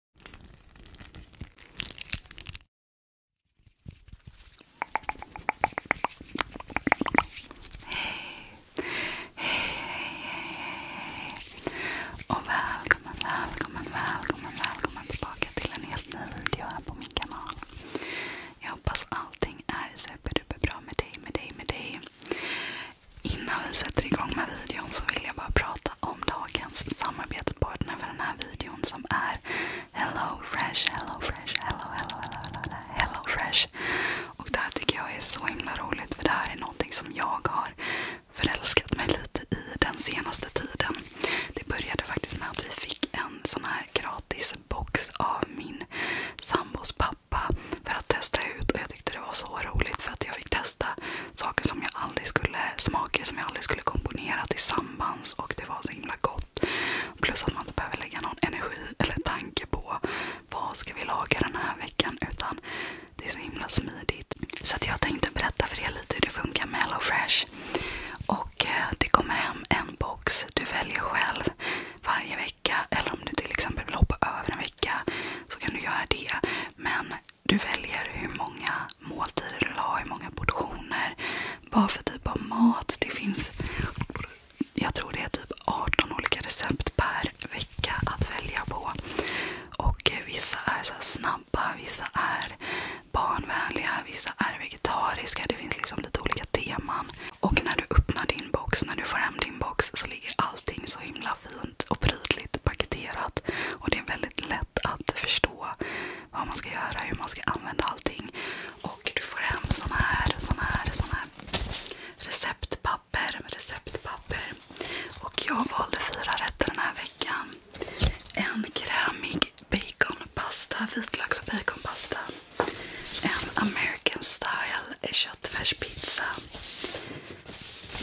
Hej, hej, hej, hej, och välkommen, välkommen, välkommen, tillbaka till en helt ny video här på min kanal. Jag hoppas allting är superduper med dig, med dig, med dig. Innan vi sätter igång med videon så vill jag bara prata om dagens samarbetspartner för den här videon som är Hello Fresh, Hello Fresh, Hello, Hello, Hello, Hello, Hello Fresh. Och det här tycker jag är så himla roligt för det här är någonting som jag har förälskat mig lite i den senaste tiden. Det började faktiskt med att vi fick en sån här gratis box av min sambos pappa för att testa ut och jag tyckte det var så roligt för att jag fick testa saker som jag aldrig skulle, smaker som jag aldrig skulle komponera tillsammans och det var så himla gott. Plus att man inte behöver lägga någon energi eller tanke på vad ska vi laga den här veckan utan det är så himla smidigt. Så att jag tänkte berätta för er lite hur det funkar med Hello Fresh. Och eh, Det kommer hem en box. Du väljer själv varje vecka. Eller om du till exempel vill hoppa över en vecka så kan du göra det. Men du väljer hur många måltider du vill ha, hur många portioner. Vad för typ av mat. Det finns, jag tror det är typ 18 olika recept per vecka att välja på. Och vissa är så snabba, vissa är barnvänliga, vissa är vegetariska. Det finns liksom lite olika teman. Och när du öppnar din box, när du får hem din box så ligger allting så himla fint och prydligt paketerat. Och det är väldigt lätt att förstå förstå vad man ska göra, hur man ska använda allting. Och du får hem såna här, såna här, såna här receptpapper. receptpapper. Och jag valde fyra rätter den här veckan. En krämig baconpasta, vitlöks och baconpasta. En American style köttfärspizza.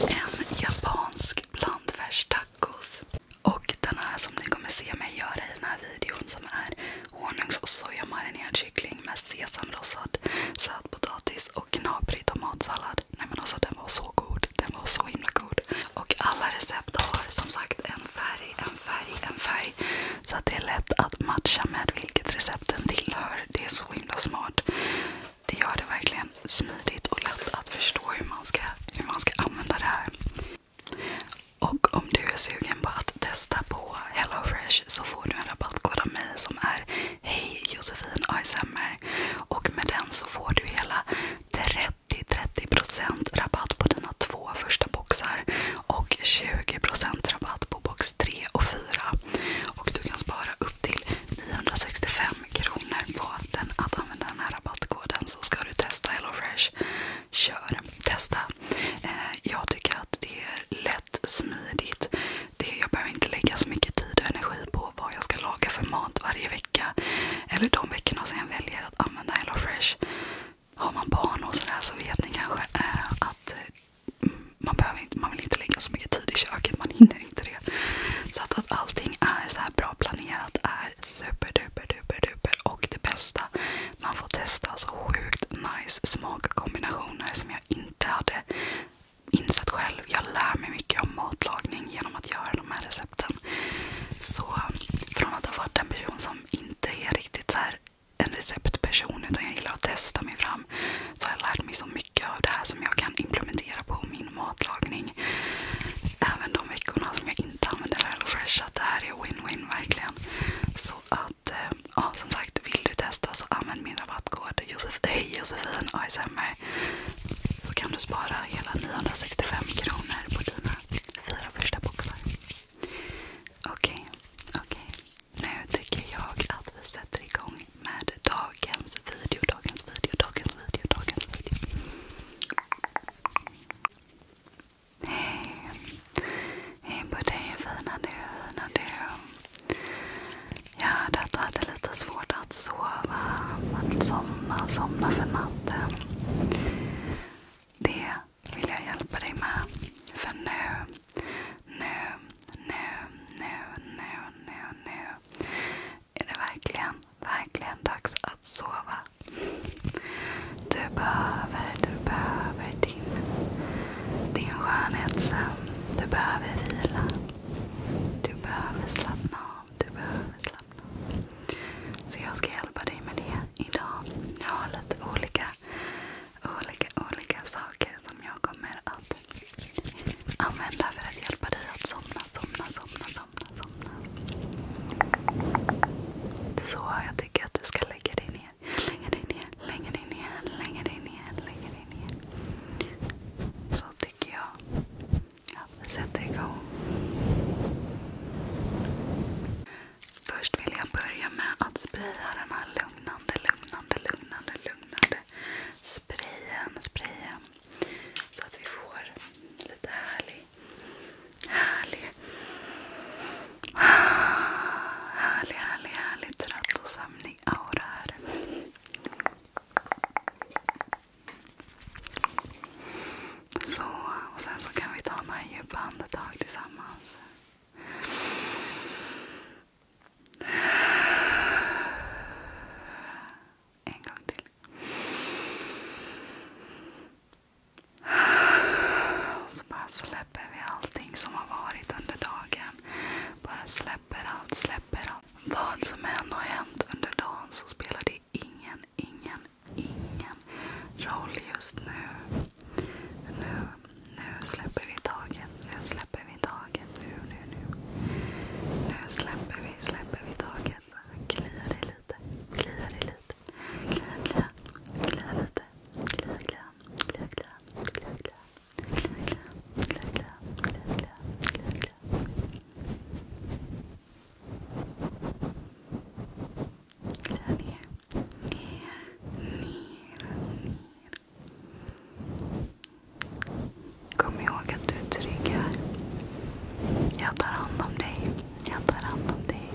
En japansk blandfärstacos. Och den här som ni kommer se mig göra i den här videon som är honungs och sojamarinerad kyckling med sesamrossad sötpotatis och knaprig tomatsallad. Nej men alltså den var så god. Den var så himla god. Och alla recept har som sagt en färg, en färg, en färg. Så att det är lätt att matcha med vilket recept den tillhör. Det är så himla smart. Det gör det verkligen verkligen smidigt och lätt att förstå hur man ska, hur man ska använda det här. Och om du är sugen på att testa på HelloFresh så får du en rabattkod av mig som är Hej Josefin ASMR. Och med den så får du hela 30-30% rabatt på dina två första boxar och 20% rabatt på box 3 och 4. Och du kan spara upp till 965 kronor på den, att använda den här rabattkoden så ska du testa HelloFresh. Kör, testa. Eh, jag tycker att det är lätt, smidigt. Det, jag behöver inte lägga så mycket tid och energi på vad jag ska laga för mat varje vecka. Eller de veckorna som jag väljer att använda HelloFresh. Har man barn och sådär så vet ni kanske eh, att eh, mm, man, behöver inte, man vill inte lägga så mycket tid i köket, man hinner inte det. Så att, att allting är så här bra planerat är är superduper duper, duper och det bästa. Man får testa så sjukt nice smakkombinationer som jag inte hade insett själv. Jag lär mig mycket om matlagning genom att göra de här recepten. Så från att ha varit en person som inte är riktigt så här en receptperson utan jag gillar att testa mig fram. Så har jag lärt mig så mycket av det här som jag kan implementera på min matlagning även de veckorna som jag inte använder Fresh, Att det här är win-win verkligen. Så att, eh, ja som sagt, vill du testa så använd min rabattkod Josef, Hej Josefin ASMR. Så kan du spara hela 965 kronor på dina fyra första boxar. Okej, okay, okej. Okay. Nu tycker jag att vi sätter igång med dagens video, dagens video, dagens video, dagens video. Hej. Hej på dig fina du, fina du. Jag hörde att du hade lite svårt att sova. Att somna, somna för natten. Det vill jag hjälpa dig med. För nu, nu, nu, nu, nu, nu, nu är det verkligen, verkligen dags att sova du behöver, du behöver din, din skönhetssömn. Du behöver vila. Du behöver slappna av. Du behöver slappna av. Så jag ska hjälpa dig med det idag. Jag har lite olika, olika, olika saker som jag kommer att använda för att hjälpa dig att somna, somna, somna. somna somna, somna. Så jag tycker att du ska lägga dig ner. Lägga dig ner, lägga dig ner, lägga dig ner, lägga dig ner. Så tycker jag att vi sätter igång. Först vill jag börja med att spraya den här lugnande, lugnande, lugnande, lugnande sprayen. sprayen så att vi får lite härlig Härlig. Härlig, härlig, härlig trött och sömnig aura här. Så, och sen så kan vi ta några djupa andetag tillsammans. En gång till. Så bara släpper vi allting som har varit under dagen. Bara släpper allt, släpper allt. Vad som än har hänt under dagen så spelar det ingen, ingen, ingen roll just nu. Nu, nu släpper vi taget. Nu släpper vi taget. Nu, nu, nu. Nu släpper vi, släpper vi taget. Kliar dig lite. Kliar dig lite dit. Klia, klia, lite. Klia, klia, klia, klia, klia, klia. ner. Ner, ner, ner. Kom ihåg att du är trygg här. Jag tar hand om dig. Jag tar hand om dig.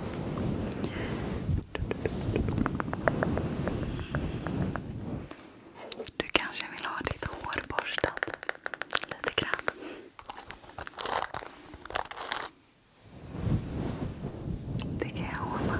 Du kanske vill ha ditt hår borstat lite grann. Det kan jag ordna.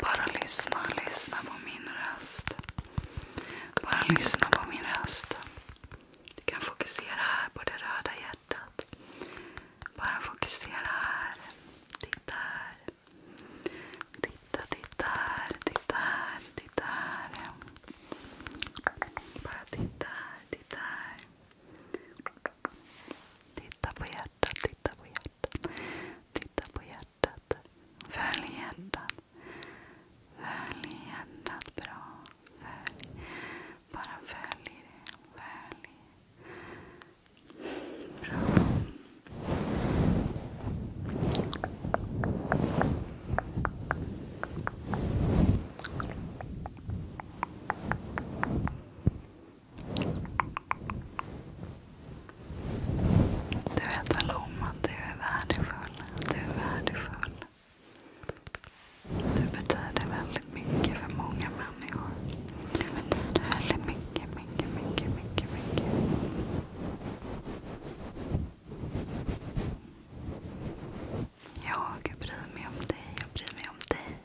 Bara lyssna, lyssna på min röst. Bara lyssna på min röst. Du kan fokusera här på det röda hjärtat. Bara fokusera här. Titta här. Titta, titta här. Titta här, titta här. Bara titta här, titta här. Titta på hjärtat, titta på hjärtat. Titta på hjärtat. Följ hjärtat. Följ hjärtat bra. Bara följ det. Följ. Bra. Du vet väl om att du är värdefull. Du är värdefull. Du betyder väldigt mycket för många människor. Du betyder väldigt mycket, mycket, mycket, mycket, mycket. Jag bryr mig om dig. Jag bryr mig om dig.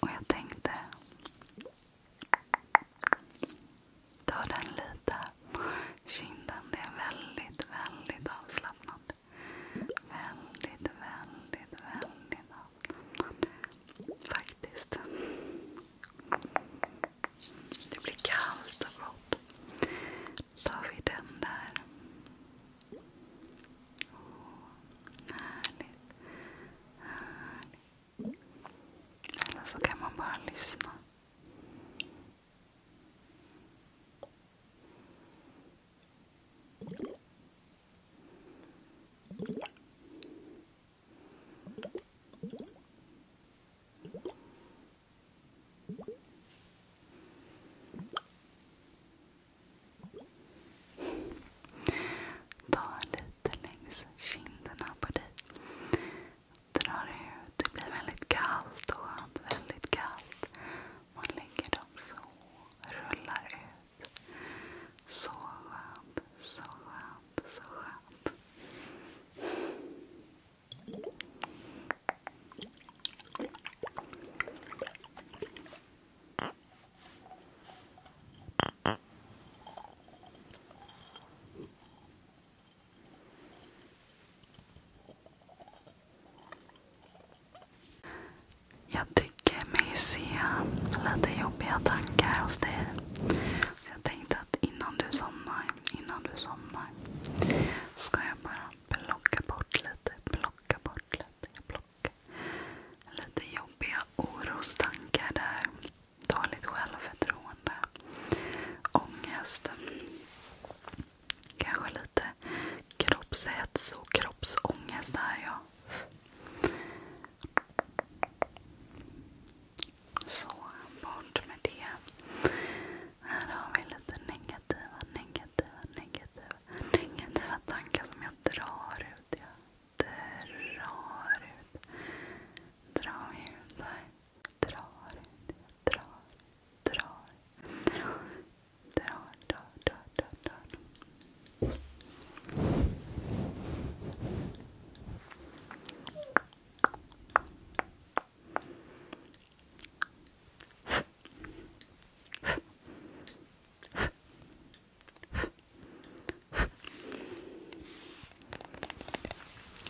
Och jag tänkte ta den lite på kinden. Det är väldigt, väldigt avslappnat. Väldigt, väldigt, väldigt avslappnat. Faktiskt. Det blir kallt och gott. Då tar vi den där. Oh, härligt. härligt. Eller så kan man bara lyssna. Ta lite längs kinderna på dig. Drar ut. Det blir väldigt kallt och skönt. Väldigt kallt. Man lägger dem så. Rullar ut. so up, so up, so up. Jag tycker mig se lite jobbiga tankar hos dig. Så jag tänkte att innan du somnar, innan du somnar ska jag bara plocka bort lite, plocka bort lite. lite jobbiga orostankar där. Dåligt självförtroende. Ångest. Kanske lite kroppshets och kroppsångest där jag. Så, bort med det. Här har vi lite negativa, negativa, negativa, negativa tankar som jag drar ut. Jag drar ut. Drar ut där. Drar ut. Jag drar, drar, drar, drar, drar, drar, drar.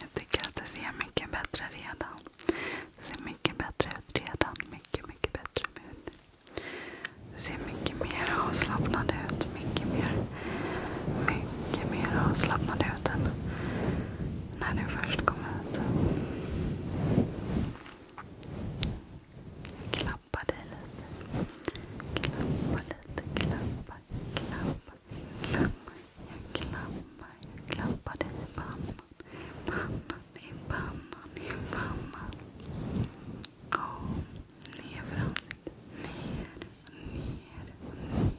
Jag tycker att det ser mycket bättre redan. Det ser mycket bättre ut redan. Mycket, mycket bättre ut ser mycket mer avslappnad ut. Mycket mer, mycket mer avslappnad ut än när du först kom hit. Klappa dig lite. Klappa lite. Klappa, klappa, klappa. Jag klappar, jag klappar dig i pannan. I pannan, i pannan, i pannan. Oh, ner för ansiktet. Ner, ner, ner.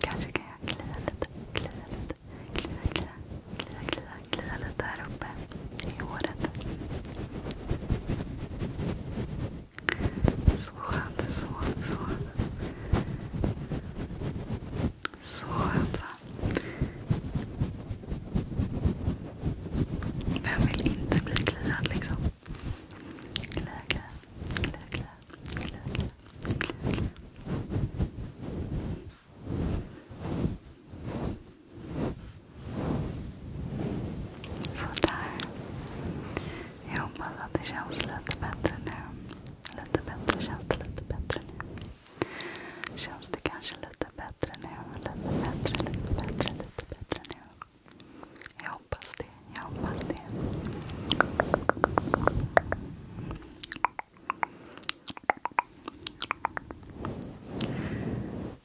Kanske kan jag klia lite. Klia lite. Klia, klia, klia, klia, klia lite här uppe i håret. Så skönt. Så, så. Så skönt va? Vem vill inte bli kliad liksom? Klia, klia, klia, klia, klia, Sådär. Jag hoppas att det känns lite bättre nu. Lite bättre. Känns det lite bättre nu? Känns det kanske lite bättre nu? Lite bättre, lite bättre, lite bättre nu? Jag hoppas det. Jag hoppas det.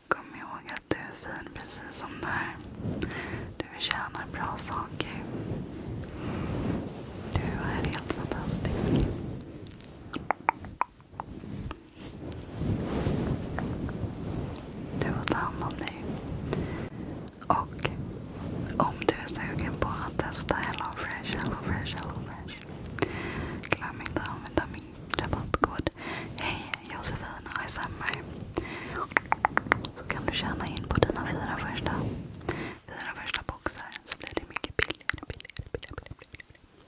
Kom ihåg att du är fin precis som du är. Du förtjänar bra saker. Du är helt fantastisk. Du får ta hand om dig. Och om du är sugen på att testa HelloFresh, HelloFresh, HelloFresh. Glöm inte att använda min rabattkod. Hej Josefin ASMR. Så kan du tjäna in på dina fyra första, fyra första boxar. Så blir det mycket billigare. billigare, billigare, billigare.